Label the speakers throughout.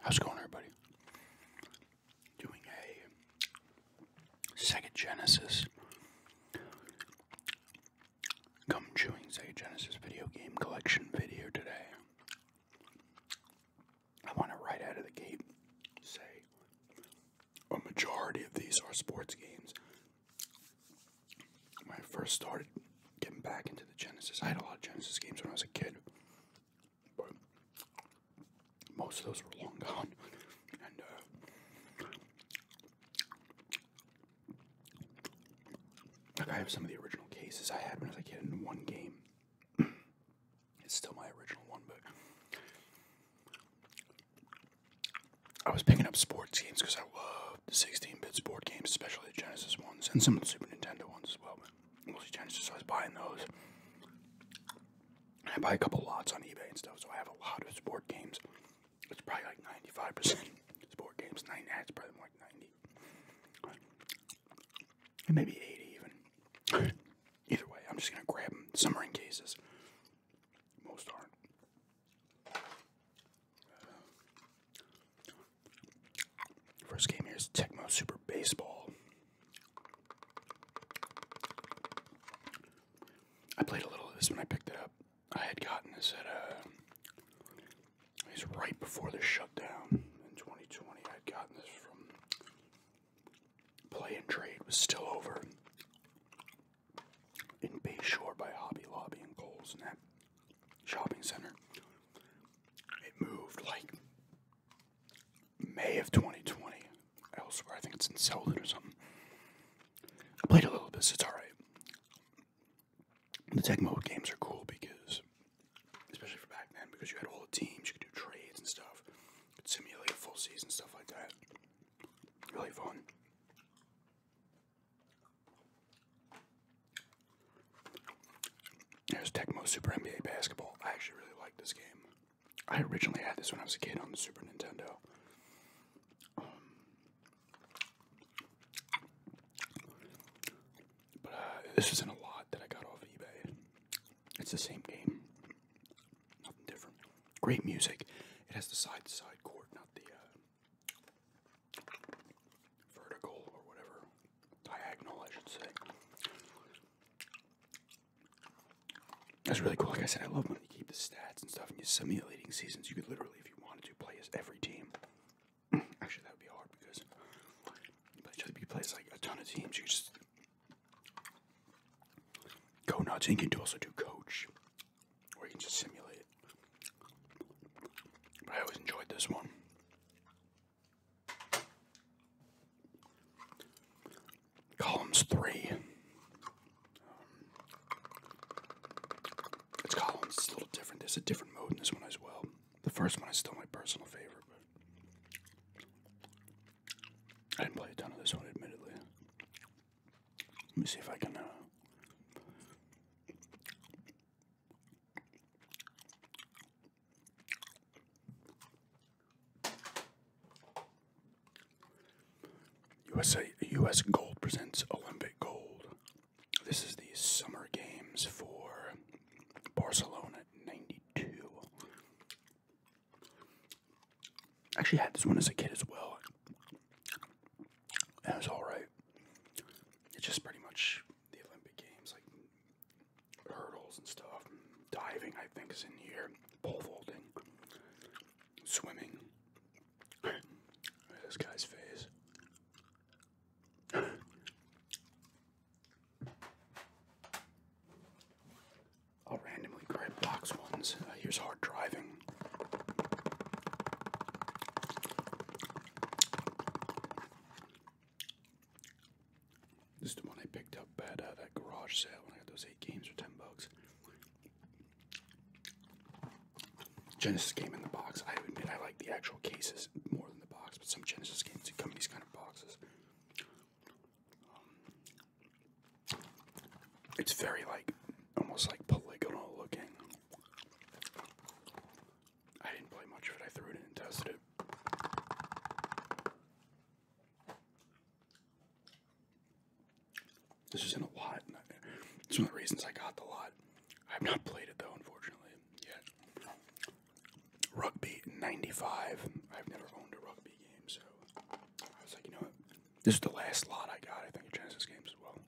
Speaker 1: How's it going, everybody? Doing a Sega Genesis gum chewing Say Genesis video game collection video today. I want to right out of the gate say a majority of these are sports games when I first started getting back into the Genesis, I had a lot of Genesis games when I was a kid, but most of those were long gone. And uh, I have some of the original cases I had when I was a kid in one game. it's still my original one, but. I was picking up sports games because I love the 16-bit sport games, especially the Genesis ones, and some of the Super Nintendo ones as well. Mostly Genesis, so I was buying those. I buy a couple lots on eBay and stuff, so I have a lot of sport games. It's probably like 95% sport games. Nine, it's probably more like 90. And maybe 80 even. Either way, I'm just going to grab them. Some are in cases. Most aren't. First game here is Tecmo Super Baseball. I played a little of this when I picked it up. I had gotten this at a. Uh, it was right before the shutdown in 2020. I had gotten this from Play and Trade. was still over in Bayshore by Hobby Lobby and Kohl's and shopping center. It moved like May of 2020 elsewhere. I think it's in Selden or something. I played a little bit, so it's alright. The tech mode games are cool because, especially for back then, because you had all the teams, you could do trades and stuff, you could simulate a full season, stuff like that. Really fun. There's Tecmo Super NBA Basketball. I actually really like this game. I originally had this when I was a kid on the Super Nintendo. Um, but uh, this isn't a lot that I got off eBay. It's the same game, nothing different. Great music. It has the side to side court, not the uh, vertical or whatever, diagonal, I should say. That's really cool. Like I said, I love when you keep the stats and stuff and you are simulating seasons. You could literally, if you wanted to, play as every team. Actually, that would be hard because you could play as like a ton of teams. You just go nuts. And you can also do coach, or you can just simulate I always enjoyed this one. Columns three. Um, it's columns, it's a little different. There's a different mode in this one as well. The first one is still my personal favorite, but I didn't play a ton of this one, admittedly. Let me see if I can. Uh, USA, U.S. Gold presents Olympic Gold. This is the Summer Games for Barcelona '92. Actually, had this one as a kid as well. And it was all right. It's just pretty much the Olympic Games, like hurdles and stuff. Diving, I think, is in here. Pole vaulting, swimming. this guy's face. I'll randomly grab box ones. Uh, here's hard driving. This is the one I picked up at uh, that garage sale when I got those eight games for ten bucks. Genesis game in the box. I admit I like the actual cases more than the box, but some Genesis games come in these kind of boxes. it's very like almost like polygonal looking. I didn't play much of it. I threw it in and tested it. This is in a lot. It's one of the reasons I got the lot. I've not played it though, unfortunately, yet. Rugby 95. I've never owned a rugby game, so I was like, you know what? This is the last lot I got, I think, of Genesis games as well.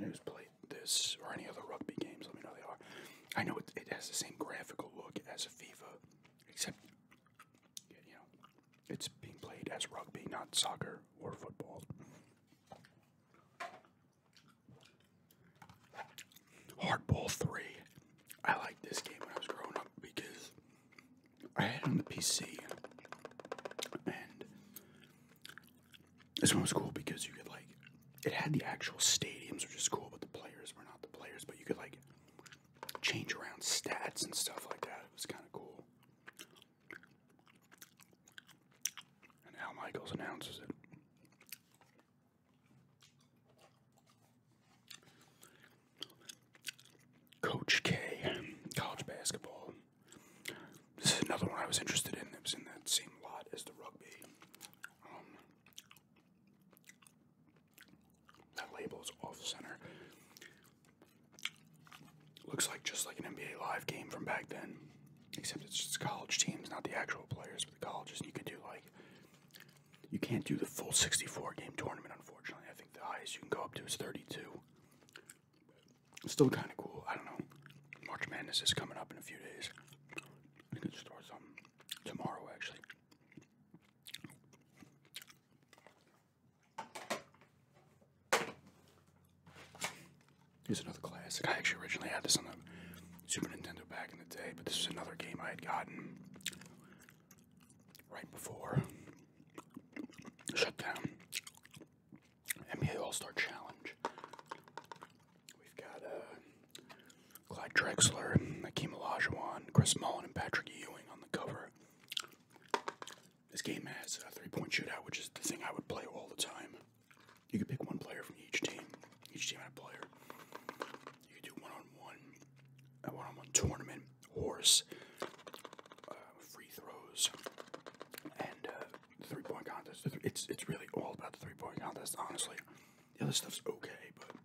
Speaker 1: If played this or any other rugby games, let me know they are. I know it, it has the same graphical look as FIFA, except you know it's being played as rugby, not soccer or football. Hardball 3. I liked this game when I was growing up because I had it on the PC and this one was cool because you could like it had the actual stadiums, which is cool, but the players were not the players. But you could like change around stats and stuff like that. It was kind of cool. And Al Michaels announces it. Coach K, college basketball, this is another one I was interested in. It was in that same lot as the rugby. Um, that label is off center. Looks like just like an NBA Live game from back then, except it's just college teams, not the actual players, but the colleges. And you can do like, you can't do the full 64 game tournament, unfortunately. I think the highest you can go up to is 32. It's still kind of cool. I don't know. March Madness is coming up in a few days. I can start some tomorrow, actually. Here's another classic. I actually originally had this on the Super Nintendo back in the day, but this is another game I had gotten right before shutdown. NBA All Star Challenge. We've got uh, Clyde Drexler, Akeem Olajuwon, Chris Mullen, and Patrick Ewing on the cover. This game has a three point shootout, which is the thing I would play all the time. You could pick one player from each team, each team had a player. You could do one on one, a one on one tournament, horse, uh, free throws, and uh, the three point contest. it's it's really all about the three point contest, honestly. The other stuff's okay, but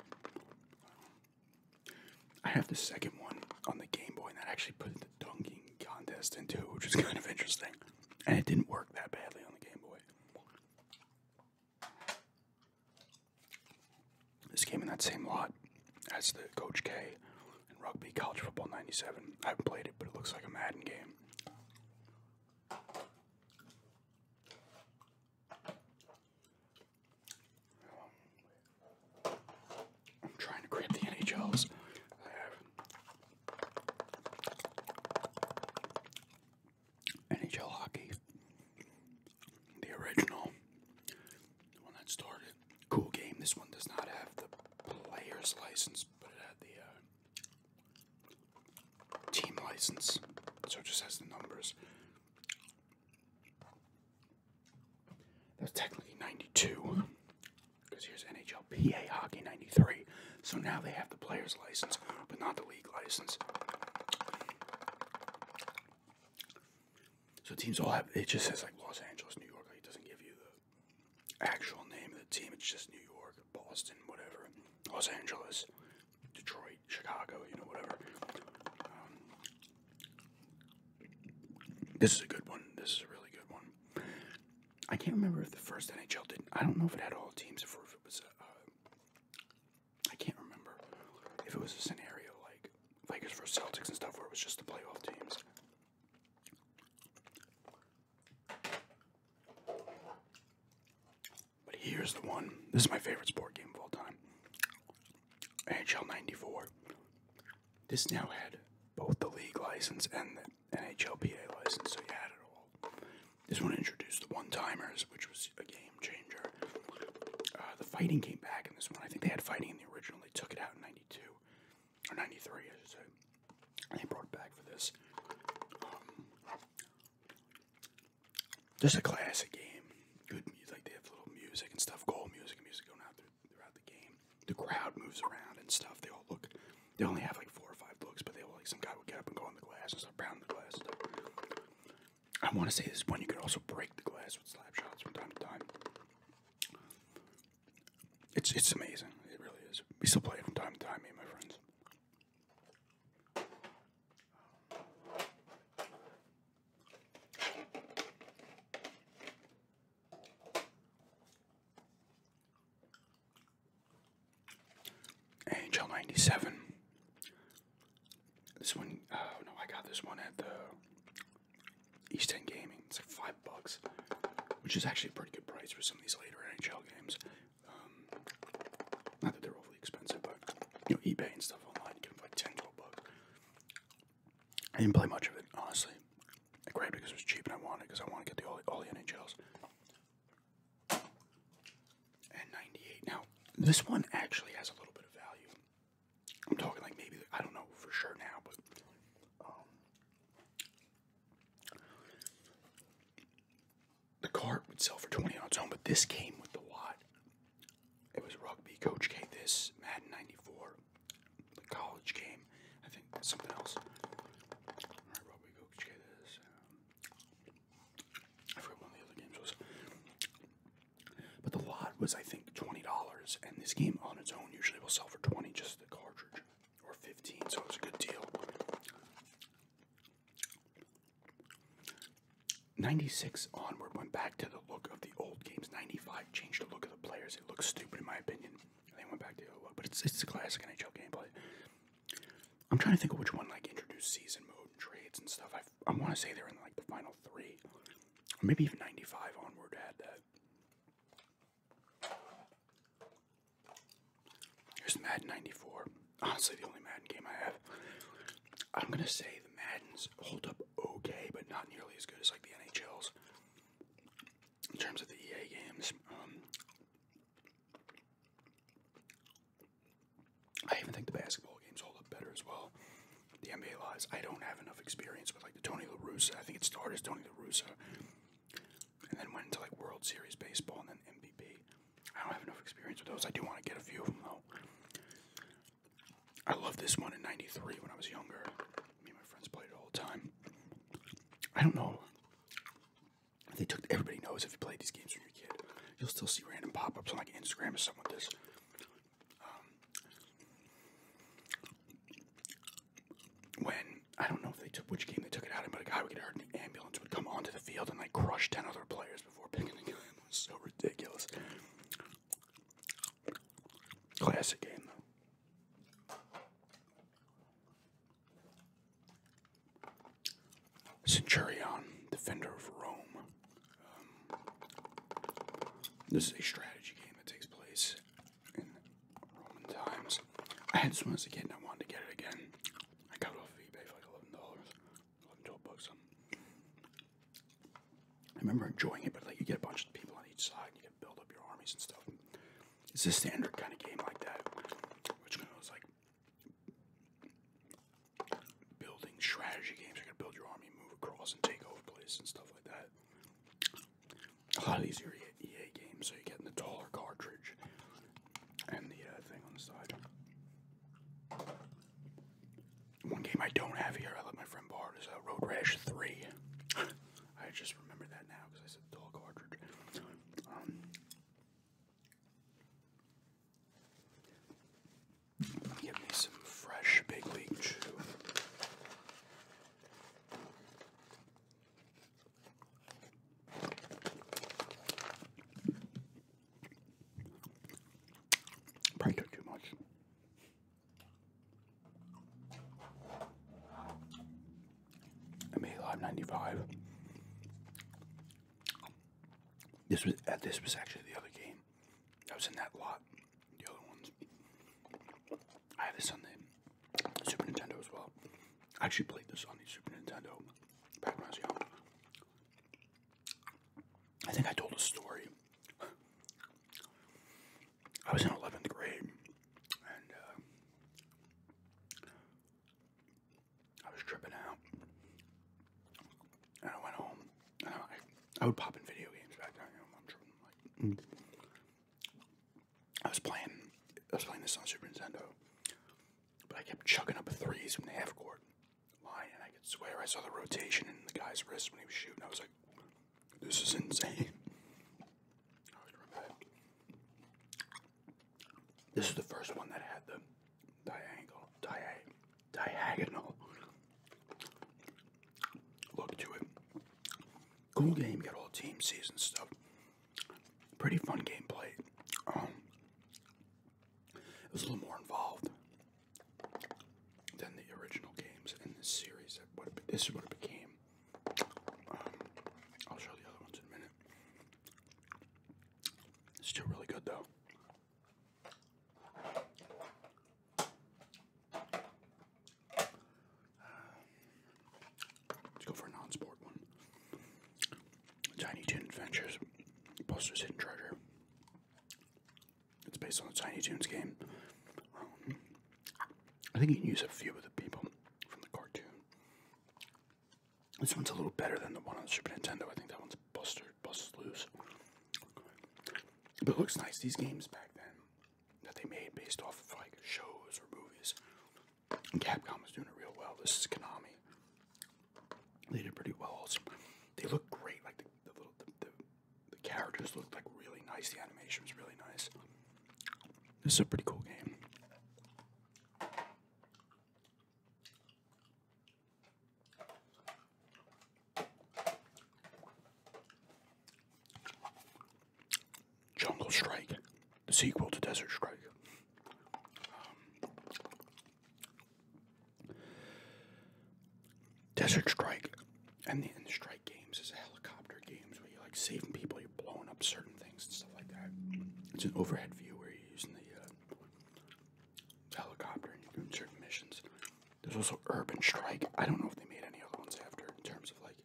Speaker 1: I have the second one on the Game Boy, and that actually put the dunking contest into, which is kind of interesting. And it didn't work that badly on the Game Boy. This came in that same lot as the Coach K and Rugby College Football 97. I haven't played it, but it looks like a Madden game. I'm trying to grab the NHLs. NHL hockey, the original, the one that started. Cool game. This one does not have the player's license, but it had the uh, team license. So it just has the numbers. That's technically 92. Because here's NHLPA Hockey 93. So now they have the player's license, but not the league license. So teams all have, it just says like Los Angeles, New York, it doesn't give you the actual name of the team. It's just New York, Boston, whatever, Los Angeles, Detroit, Chicago, you know, whatever. Um, this is a good one. This is a really good one. I can't remember if the first NHL did. I don't know if it had all teams, if it was. Uh, I can't remember if it was a scenario like Lakers versus Celtics and stuff, where it was just the playoff teams. But here's the one. This is my favorite sport game of all time. NHL 94. This now had both the league license and the NHLPA license, so you had it all. This one introduced the one timers, which was a game changer. Uh, the fighting came back in this one. I think they had fighting in the original, they took it out in 92. 93, I they brought back for this. Um, just a classic game. Good music. they have little music and stuff, goal music and music going out throughout the game. The crowd moves around and stuff. They all look. They only have like four or five looks, but they like some guy would get up and go on the glass and start the glass. I want to say this one. You could also break the glass with slap shots from time to time. It's it's amazing. It really is. We still play it from time to time, me and my friends. Angel 97. This one, oh no, I got this one at the East End Gaming. It's like five bucks, which is actually a pretty good price for some of these later NHL games. Um, not that they're overly expensive, but you know, eBay and stuff online, you get 10, 12 bucks. I didn't play much of it, honestly. I grabbed it because it was cheap and I wanted because I want to get the all, the NHLs. And 98. Now, this one actually has a little bit of value. I'm talking like maybe, I don't know for sure now, but um, the cart would sell for 20 on its own, but this came with the lot. It was rugby. Coach game. this, Madden 94, the college game, I think something else. rugby, Coach K, um, I forgot one the other games was. But the lot was, I think, $20, and this game on its own usually will sell for 20 just the cartridge or 15, so it's a good deal. 96 onward went back to the look of the old games. 95 changed the look of the players. It looks stupid in my opinion. They went back to the look, but it's it's a classic NHL gameplay. I'm trying to think of which one like introduced season mode and trades and stuff. I I want to say they're in like the final three, or maybe even 95 onward had that. Here's Madden 94. Honestly, the only Madden game I have. I'm going to say the Maddens hold up okay, but not nearly as good as like the NHL's. In terms of the EA games, um, I even think the basketball games hold up better as well. The NBA lives, I don't have enough experience with like the Tony La Russa. I think it started as Tony La Russa and then went into like World Series baseball and then MVP. I don't have enough experience with those. I do want to get a few of them though. I love this one in '93 when I was younger. Me and my friends played it all the time. I don't know. They took everybody knows if you played these games when you're a kid, you'll still see random pop-ups on like Instagram or something with this. Um, when I don't know if they took which game they took it out in, but a guy would get hurt in the ambulance would come onto the field and like crush ten other players before picking the game. It was so ridiculous. Classic game though. Centurion, defender of Rome. Um, this is a strategy game that takes place times. I had this one as a kid and I wanted to get it again. I got it off eBay for like eleven dollars, eleven twelve bucks. I remember enjoying it, but like you get a bunch of people on each side, and you can build up your armies and stuff. It's a standard kind of game like that, which kind of was like building strategy games. You can build your army, move across, and take over places and stuff like that. A lot of these are EA games, so you get in the taller cartridge and the thing on the side. One game I don't have here, I let my friend borrow, is uh, Road Rash 3. I just remember that now because I said dull cartridge. Um, give me some fresh Big League Chew. Probably took too much. I made live ninety five. This was uh, this was actually the other game. I was in that lot. The other ones. I had this Super Nintendo as well. I actually played this on the Super Nintendo back when I was young. I think I told a story. I was in 11th grade and uh, I was tripping out. And I went home. And I, I would pop in video games back then. I was playing, I was playing this on Super Nintendo, but I kept chucking up threes from the half court line, and I could swear I saw the rotation in the guy's wrist when he was shooting. I was like, "This is insane." This is the first one that had the diagonal, diagonal look to it. Cool game, got all team season stuff pretty fun gameplay. Um, it was a little more involved than the original games in this series. this is what it became. Um, I'll show the other ones in a minute. It's still really good though. Let's go for a non-sport one. Tiny Toon Adventures, Buster's Hidden Treasure. It's based on the Tiny Toons game. Um, I think you can use a few of the people from the cartoon. This one's a little better than the one on the Super Nintendo. I think that one's Buster, Buster's Loose. But it looks nice. These games back then that they made based off of like shows or movies and Capcom was doing it real well. This is Konami. They did pretty well. Also. They look great. Like the, little the, the characters looked like really nice. The animation was really nice. This is a pretty cool game. Jungle Strike, the sequel to Desert Strike. Um, Desert Strike and the, and the Strike games is helicopter games where you're like saving people, you're blowing up certain things and stuff like that. It's an overhead view where you're using the uh, helicopter and you're doing certain missions. There's also Urban Strike. I don't know if they made any other ones after in terms of like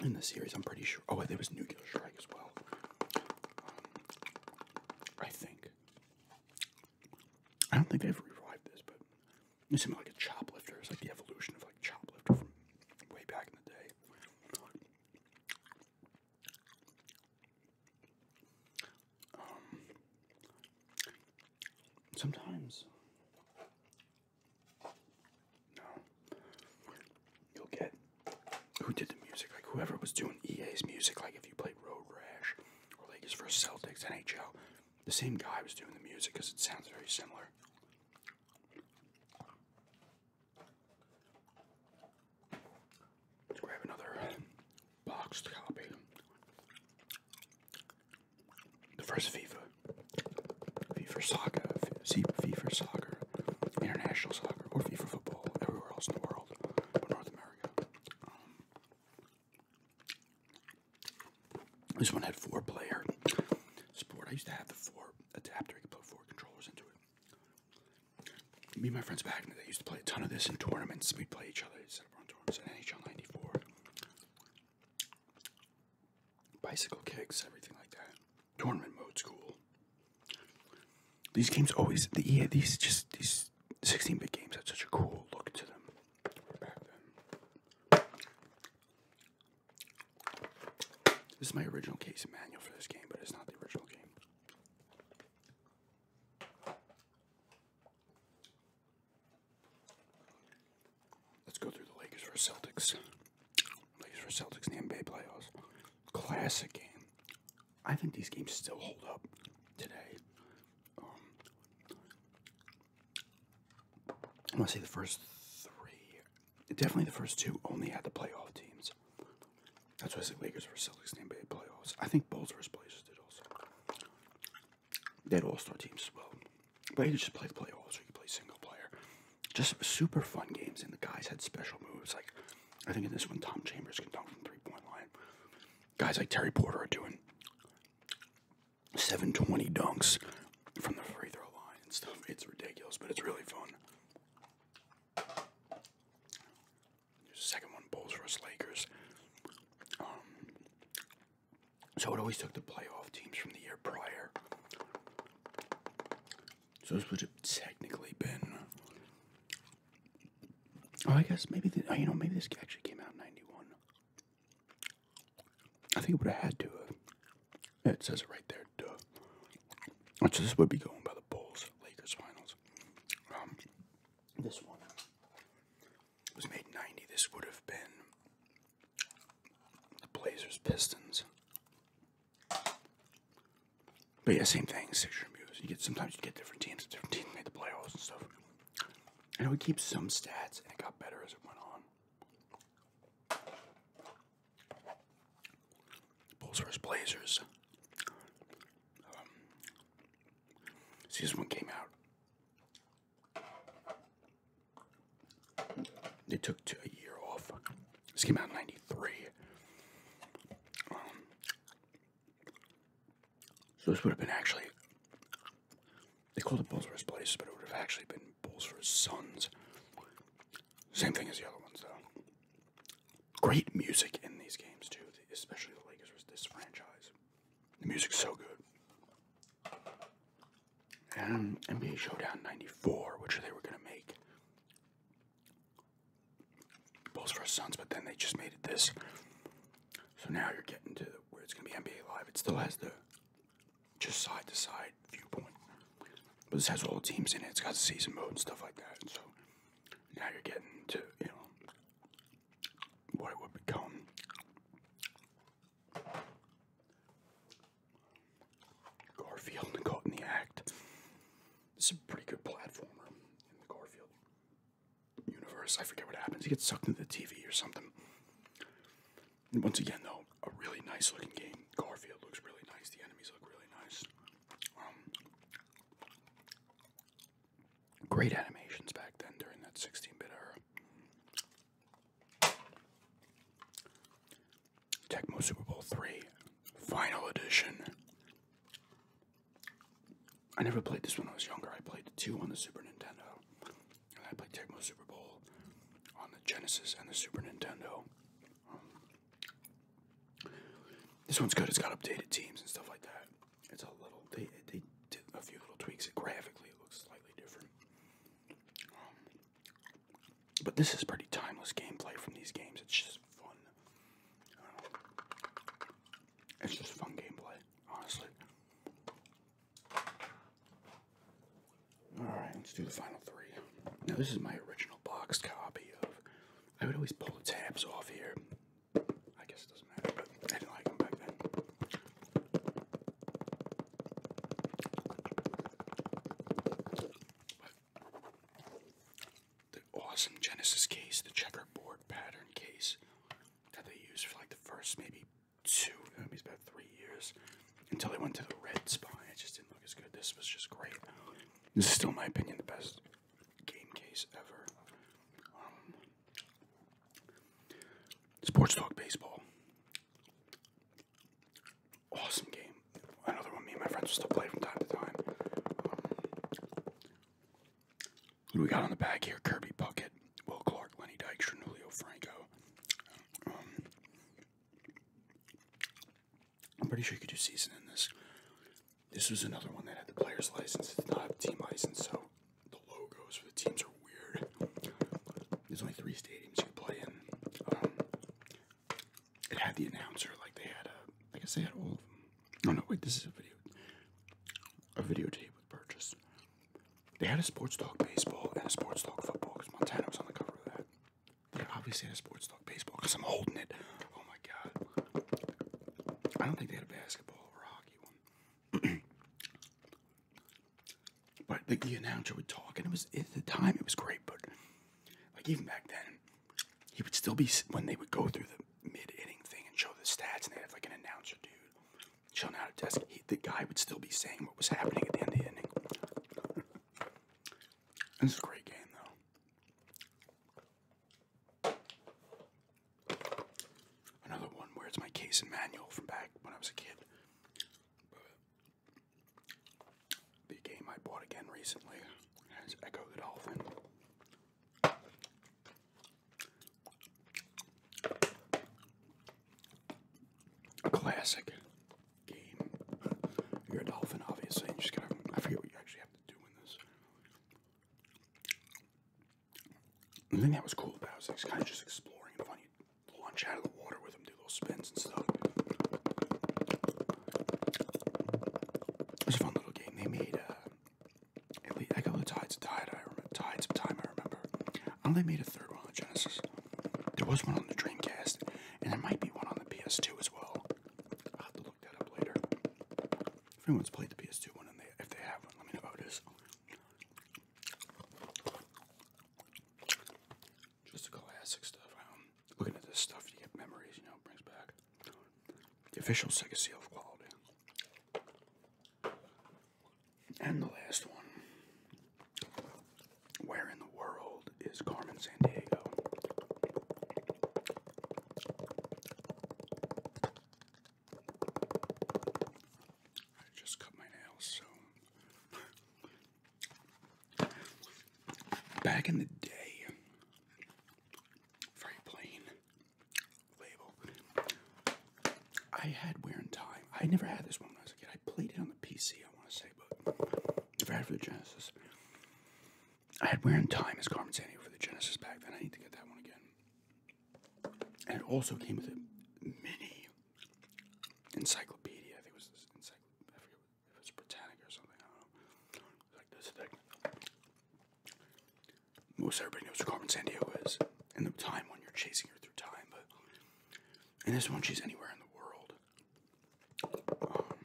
Speaker 1: in the series. I'm pretty sure. Oh, wait, there was Nuclear Strike as well. Um, I think. I don't think they've revived this, but it seemed like a choplifter. It's like the evolution of like choplifter from way back in the day. Um, sometimes no. You'll get who did the music, like whoever was doing EA's music, like if you played Road Rash or like his first Celtics, NHL, the same guy was doing the music because it sounds very similar. Let's another boxed copy. The first FIFA. FIFA soccer, FIFA soccer, international soccer, or FIFA football everywhere else in the world, but North America. Um, this one had four player sport. I used to have the four adapter. I could put four controllers into it. Me and my friends back in the day used to play a ton of this in tournaments. We'd play each other. We'd set up our tournaments NHL 94. Bicycle kicks, everything like that. Tournament mode's cool. These games always the EA these just these 16-bit games have such a cool look to them back then. This is my original case manual for this game, but it's not the original game. Let's go through the Lakers for Celtics. These were Celtics NBA playoffs. Classic game. I think these games still hold up today. Um, I want to say the first three, definitely the first two, only had the playoff teams. That's why I said Lakers versus Celtics in the NBA playoffs. I think Bulls versus Blazers did also. They had all-star teams as well. But you just play the playoffs, or you play single player just super fun games, and the guys had special moves. Like, I think in this one, Tom Chambers can dunk from three point line. Guys like Terry Porter are doing 720 dunks from the free throw line and stuff. It's ridiculous, but it's really fun. There's a second one, Bulls vs. Lakers. Um, so it always took the playoff teams from the year prior so this would have technically been. Oh, I guess maybe oh, you know maybe this actually came out '91. I think it would have had to. Have. It says it right there. Duh. Which this would be going by the Bulls Lakers finals. Um, this one was made '90. This would have been the Blazers Pistons. But yeah, same thing, six year moves. You get sometimes you get different teams, different teams made the playoffs and stuff. I know we keep some stats and it got better as it went on. Bulls versus Blazers. Um, season one came out. They took a year off. This came out in '93. Um, so this would have been actually. They called it Bulls for his place, but it would have actually been Bulls for his sons. Same thing as the other ones, though. Great music in these games too, especially the Lakers versus this franchise. The music's so good. And NBA Showdown '94, which they were gonna make Bulls vs sons, but then they just made it this. So now you're getting to where it's gonna be NBA Live. It still has the just side to side viewpoint, but this has all the teams in it. It's got season mode and stuff like that. so now you're getting to you know what it would become. Garfield and Caught in the Act. This is a pretty good platformer in the Garfield universe. I forget what happens. He gets sucked into the TV or something. once again, though, a really nice looking game. Garfield looks really nice. The enemies look really nice. Um, great animations back then during that 16 bit era. Techmo Super Bowl 3 Final Edition. I never played this one when I was younger. I played the 2 on the Super Nintendo. And I played Techmo Super Bowl on the Genesis and the Super Nintendo. Um, this one's good. It's got updated teams and stuff like that. It's a little, they, they did a few little tweaks. It graphically, looks slightly different. Um, but this is pretty timeless gameplay from these games. It's just fun. It's just fun gameplay, honestly. Alright, let's do the final three. Now, this is my original box copy of. I would always pull the tabs off here. I guess it doesn't matter, but I didn't like them back then. The awesome Genesis case, the checkerboard pattern case that they used for like the first maybe two, maybe about three years until they went to the red spine. It just didn't look as good. This was just great. This is still, my opinion, the best game case ever. Um, sports Talk Baseball awesome game. Another one me and my friends will still play from time to time. Who do we got on the back here? Kirby Puckett, Will Clark, Lenny Dykstra, Nulio Franco. Um, I'm pretty sure you could do season in this. This was another one that had the player's license. It's not a team license, so the logos for the teams are weird. There's only three stadiums you can play in. Um, it had the announcer like they had a I guess they had all of them. Oh no, wait, this is a video a videotape with purchase. They had a sports talk baseball and a sports talk football because Montana was on the cover of that. They obviously had a sports talk baseball because I'm holding it. Oh my god. I don't think they had a basketball or hockey one. but the, the announcer would talk and it was at the time it was great, but like even back then he would still be when they would go through the mid inning thing and show the stats, and they have like an announcer dude showing out at test. He, the guy would still be saying what was happening at the end of the inning. This is a great game, though. Another one where it's my case and manual from back when I was a kid. The game I bought again recently is Echo the Dolphin. classic game. You're a dolphin, obviously. You just gotta, I forget what you actually have to do in this. The thing that was cool about it was kind of just exploring and finding launch out of the water with them, spins and stuff. It's a fun little game. They made uh, at I got the Tides of Tide. I remember Tides of Time. I remember. I only made a third one on Genesis. There was one on the Dreamcast, and there might be one on the PS2 as well. I'll have to look that up later. If anyone's played the PS2 one and if they have one, let me know how it is. Just classic stuff. looking at this stuff, you get memories. You know, brings back the official Sega seal of quality. And the last one. Where in the world is Carmen Sandiego? I just cut my nails, so Back in the day, very label. I had Wear Time. I never had this one when I was a kid. I played it on the PC, I want to say, but never had for the Genesis. I had Wear and Time as Carmen Sandiego for the Genesis back then. I need to get that one again. And it also came with a mini encyclopedia. I think it was if it's Britannic or something, I don't know. It's like this thing. Most everybody knows who Carmen Sandiego is. In the time when you're chasing her through time, but in this one she's anywhere in the world. Um,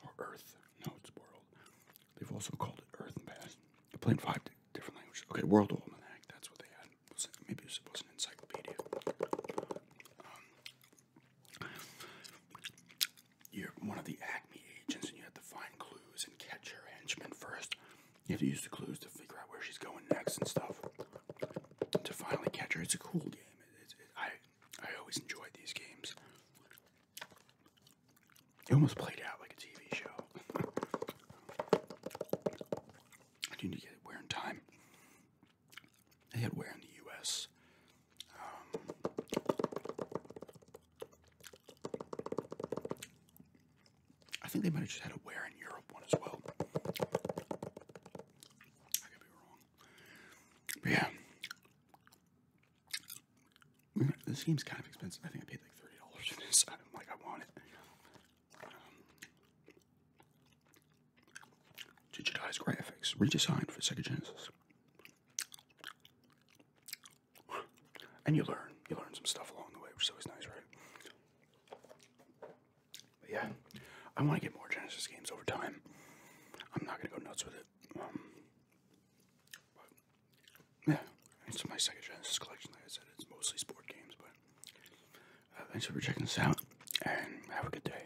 Speaker 1: or Earth. No, it's world. They've also called it Earth in the past. They play in five different languages. Okay, World Almanac, that's what they had. Maybe it was an encyclopedia. Um, you're one of the Acme agents, and you have to find clues and catch your henchman first. You have to use the clues to figure out where she's going next and stuff. To finally catch her, it's a cool game. I I always enjoy these games. It almost played out like a TV show. I need to get it. we in time. They had wear in the U.S. Um, I think they might have just had a wear in Europe one as well. I could be wrong. But yeah. This game's kind of expensive. I think I paid like thirty dollars for this. I'm like, I want it. Um, digitized graphics, redesigned for Sega Genesis. And you learn. You learn some stuff along the way, which is always nice, right? yeah, I want to get more Genesis games over time. I'm not going to go nuts with it. Um, yeah, it's my second Genesis collection. Like I said, it's mostly sport games. But uh, thanks for checking this out, and have a good day.